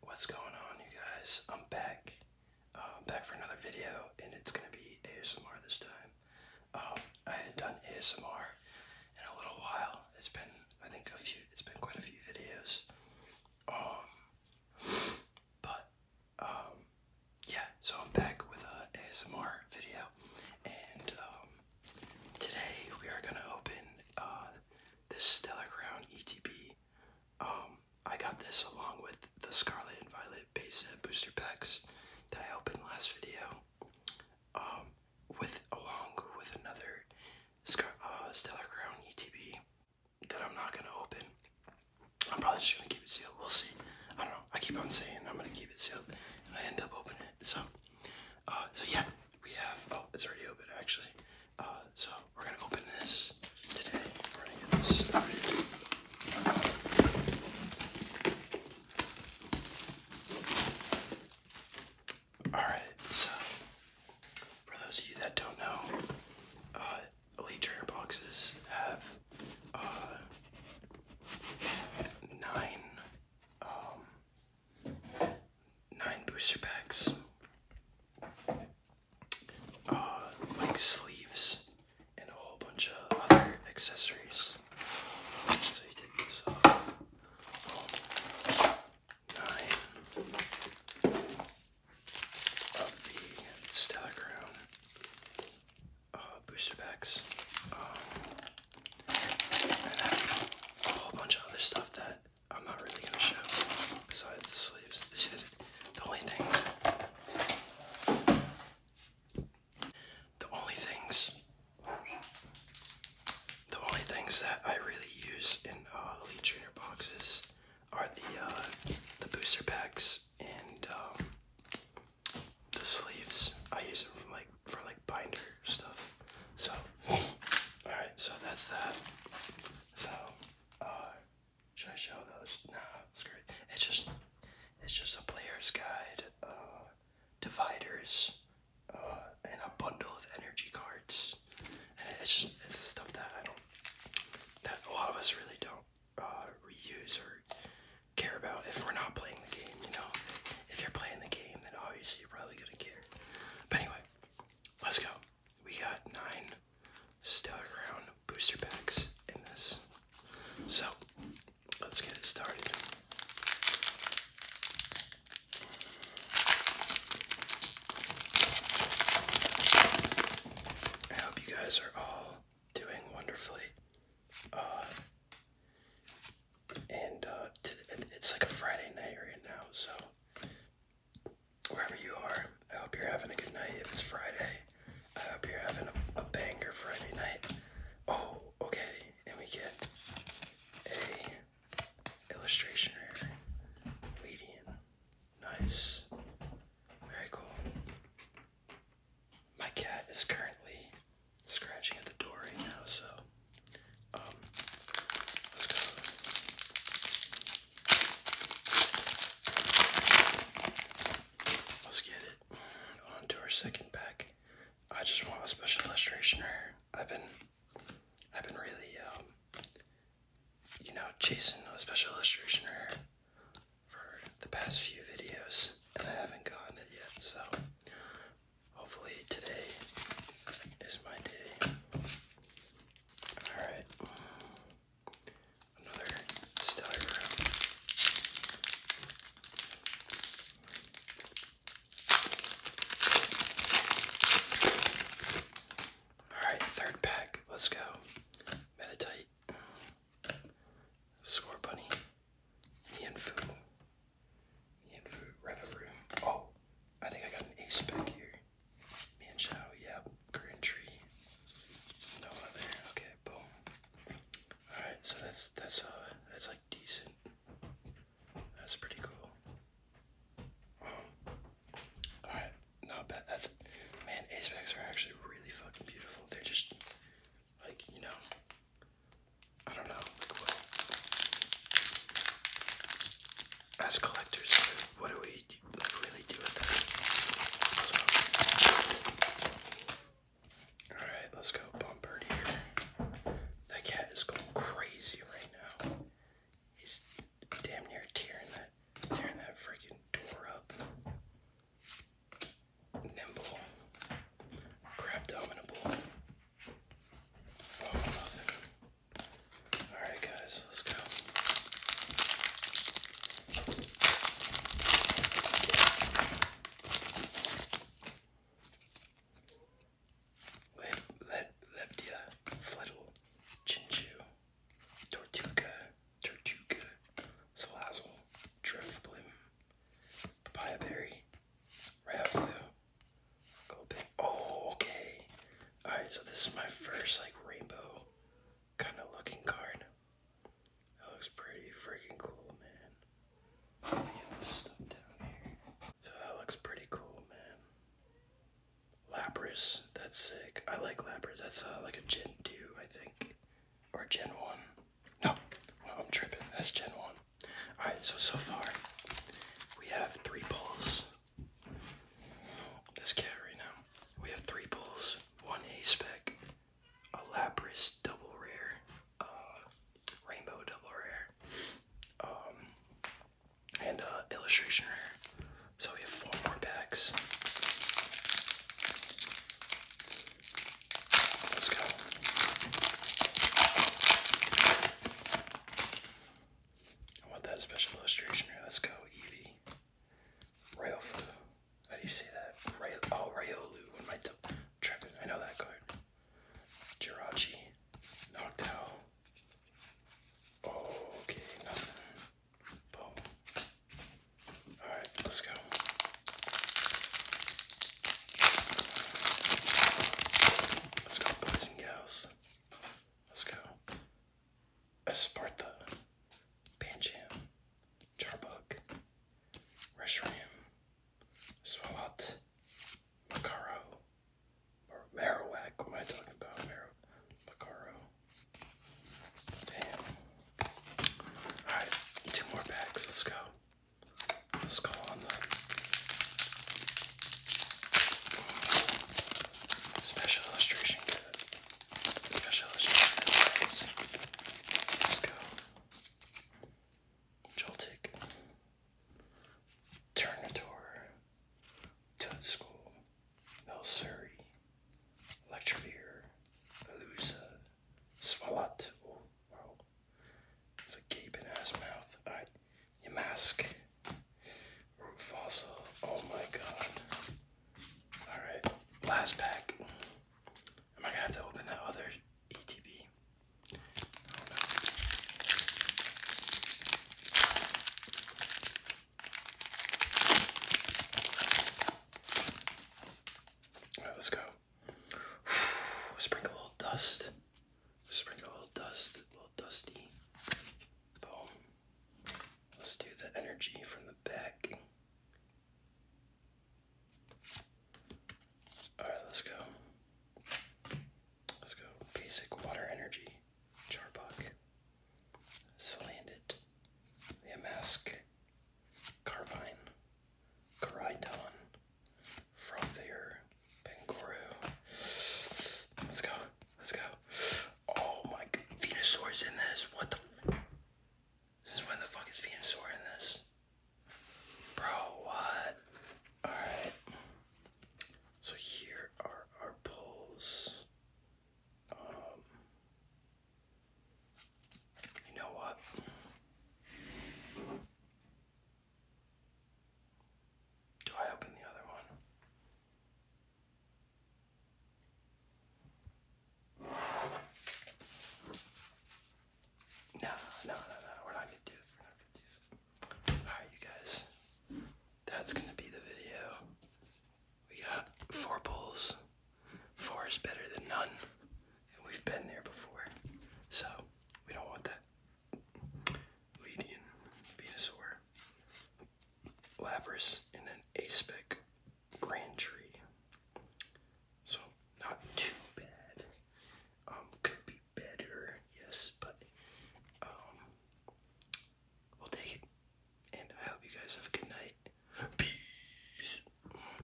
What's going on, you guys? I'm back. Uh, I'm back for another video, and it's going to be ASMR this time. Um, I had done ASMR in a little while. It's been, I think, a few. It's been quite a few videos. Um, but um, yeah. So I'm back with a ASMR video, and um, today we are going to open uh, this Stellar Crown ETB. Um, I got this along with the Scarlet and Violet base set booster packs that I opened last video. Um, with along with another Scar uh, Stellar Crown ETB that I'm not gonna open. I'm probably just gonna keep it sealed. We'll see. I don't know. I keep on saying I'm gonna keep it sealed, and I end up opening it. So, uh, so yeah we have, oh, it's already open actually. Uh, so we're gonna open this today. We're gonna get this out Alright, so for those of you that don't know, uh, Elite boxes have uh, nine um, nine booster packs, uh, like sleeves, and a whole bunch of other accessories. So you take this off. Nine of the Stellar uh, booster packs. Um, and a whole bunch of other stuff that I'm not really gonna show besides the sleeves. This is the only things the only things the only things that I really use in uh, Elite Junior boxes are the uh, the booster packs and um, the sleeves. I use them like for like binder stuff. So, alright, so that's that. So, uh, should I show those? Nah, screw it. It's just, it's just a player's guide, uh, dividers, uh, and a bundle of energy cards. And it's just, it's stuff that I don't, that a lot of us really don't, uh, reuse or care about if we're not playing the game, you know? If you're playing the game, then obviously you're probably gonna care. But anyway, Let's go. We got nine Stellar Crown booster packs in this. So, let's get it started. I hope you guys are all doing wonderfully. Uh, and uh, it's like a Friday night right now. So wherever you are, I hope you're having a good night. If it's Friday, I hope you're having a, a banger Friday night. Oh, okay, and we get a illustration here. Median, nice, very cool. My cat is currently scratching at the door right now, so um, let's get it mm, on our second pack. I just want a special illustration here. I've been, I've been really, um, you know, chasing a special illustration here for the past few videos, and I haven't gotten it yet. So Hopefully, today is my day. Alright, another stellar Alright, third pack, let's go. Meditate, Score Bunny, Nianfu, Yanfu Reverum. Oh, I think I got an ace back here. Manchow, yeah, Grand Tree. No other. Okay, boom. Alright, so that's that's uh that's like decent. That's pretty cool. Um, Alright, not bad. That's man, ace backs are actually really fucking beautiful. They're just like, you know, I don't know, like what as collectors, what do we like really do with that? Alright, let's go Bombird That cat is going crazy right now. He's damn near tearing that tearing that freaking door up. Nimble. Crab Alright, guys, let's go. leptia, flettle, chinchu, tortuga, tortuga, salazzle, drift blim, papaya Oh, okay. Alright, so this is my first like rainbow kind of looking card. That looks pretty freaking cool, man. Let So that looks pretty cool, man. Lapras, that's sick. I like Lapras. That's uh, like a Gen 2, I think. Or Gen 1. No, well, I'm tripping. That's Gen 1. Alright, so so far we have three pulls. This cat right now. We have three pulls, one A spec, a Lapras double rare, uh, rainbow double rare, um, and uh, illustration rare. So we have four more packs. Let's go. I want that special illustration Let's go, Eevee. Railfu. How do you say that? Rail oh, Rayolu. What am I I know that card. Jirachi. Knocked Okay, Boom. Alright, let's go. Let's go, boys and girls. Let's go. Esparta, Pancho, Charbuk, Reshiram, Swalot, Macaro, or Marowak. What am I talking about? Marrow, Macaro. Damn. Alright, two more packs. Let's go. Let's go on the special illustration kit. Special illustration kit. Let's go. Joltik. Turnitor. Toad School. Milsuri. Electrovere. Swalot. Oh, wow. It's a gaping ass mouth. Alright, your mask. Root fossil. Oh my god. Alright, last pack. Am I gonna have to open that other ETB? let's go. Sprinkle a little dust. Sprinkle a little dust, a little dusty. Boom. Let's do the energy from the back. Alright, let's go. Let's go. Basic water energy. Charbok. Slanded. mask. Carvine, Caridon, Fronthier, Pengoru. Let's go. Let's go. Oh my god. Venusaur's in this. What the Since when the fuck is Venusaur in this? Bro, what? Alright. So here are our pulls. Um you know what? Do I open the other one? No, no, no, no, we're not gonna do it. We're not gonna do it. Alright, you guys, that's gonna be the video. We got four pulls, Four is better than none, and we've been there before, so we don't want that. Ledian, Venusaur, Lapras, and an Aspec Grand Tree. So, not too bad. Um, could be better, yes, but um, we'll take it. And I hope you guys have a good night. Peace.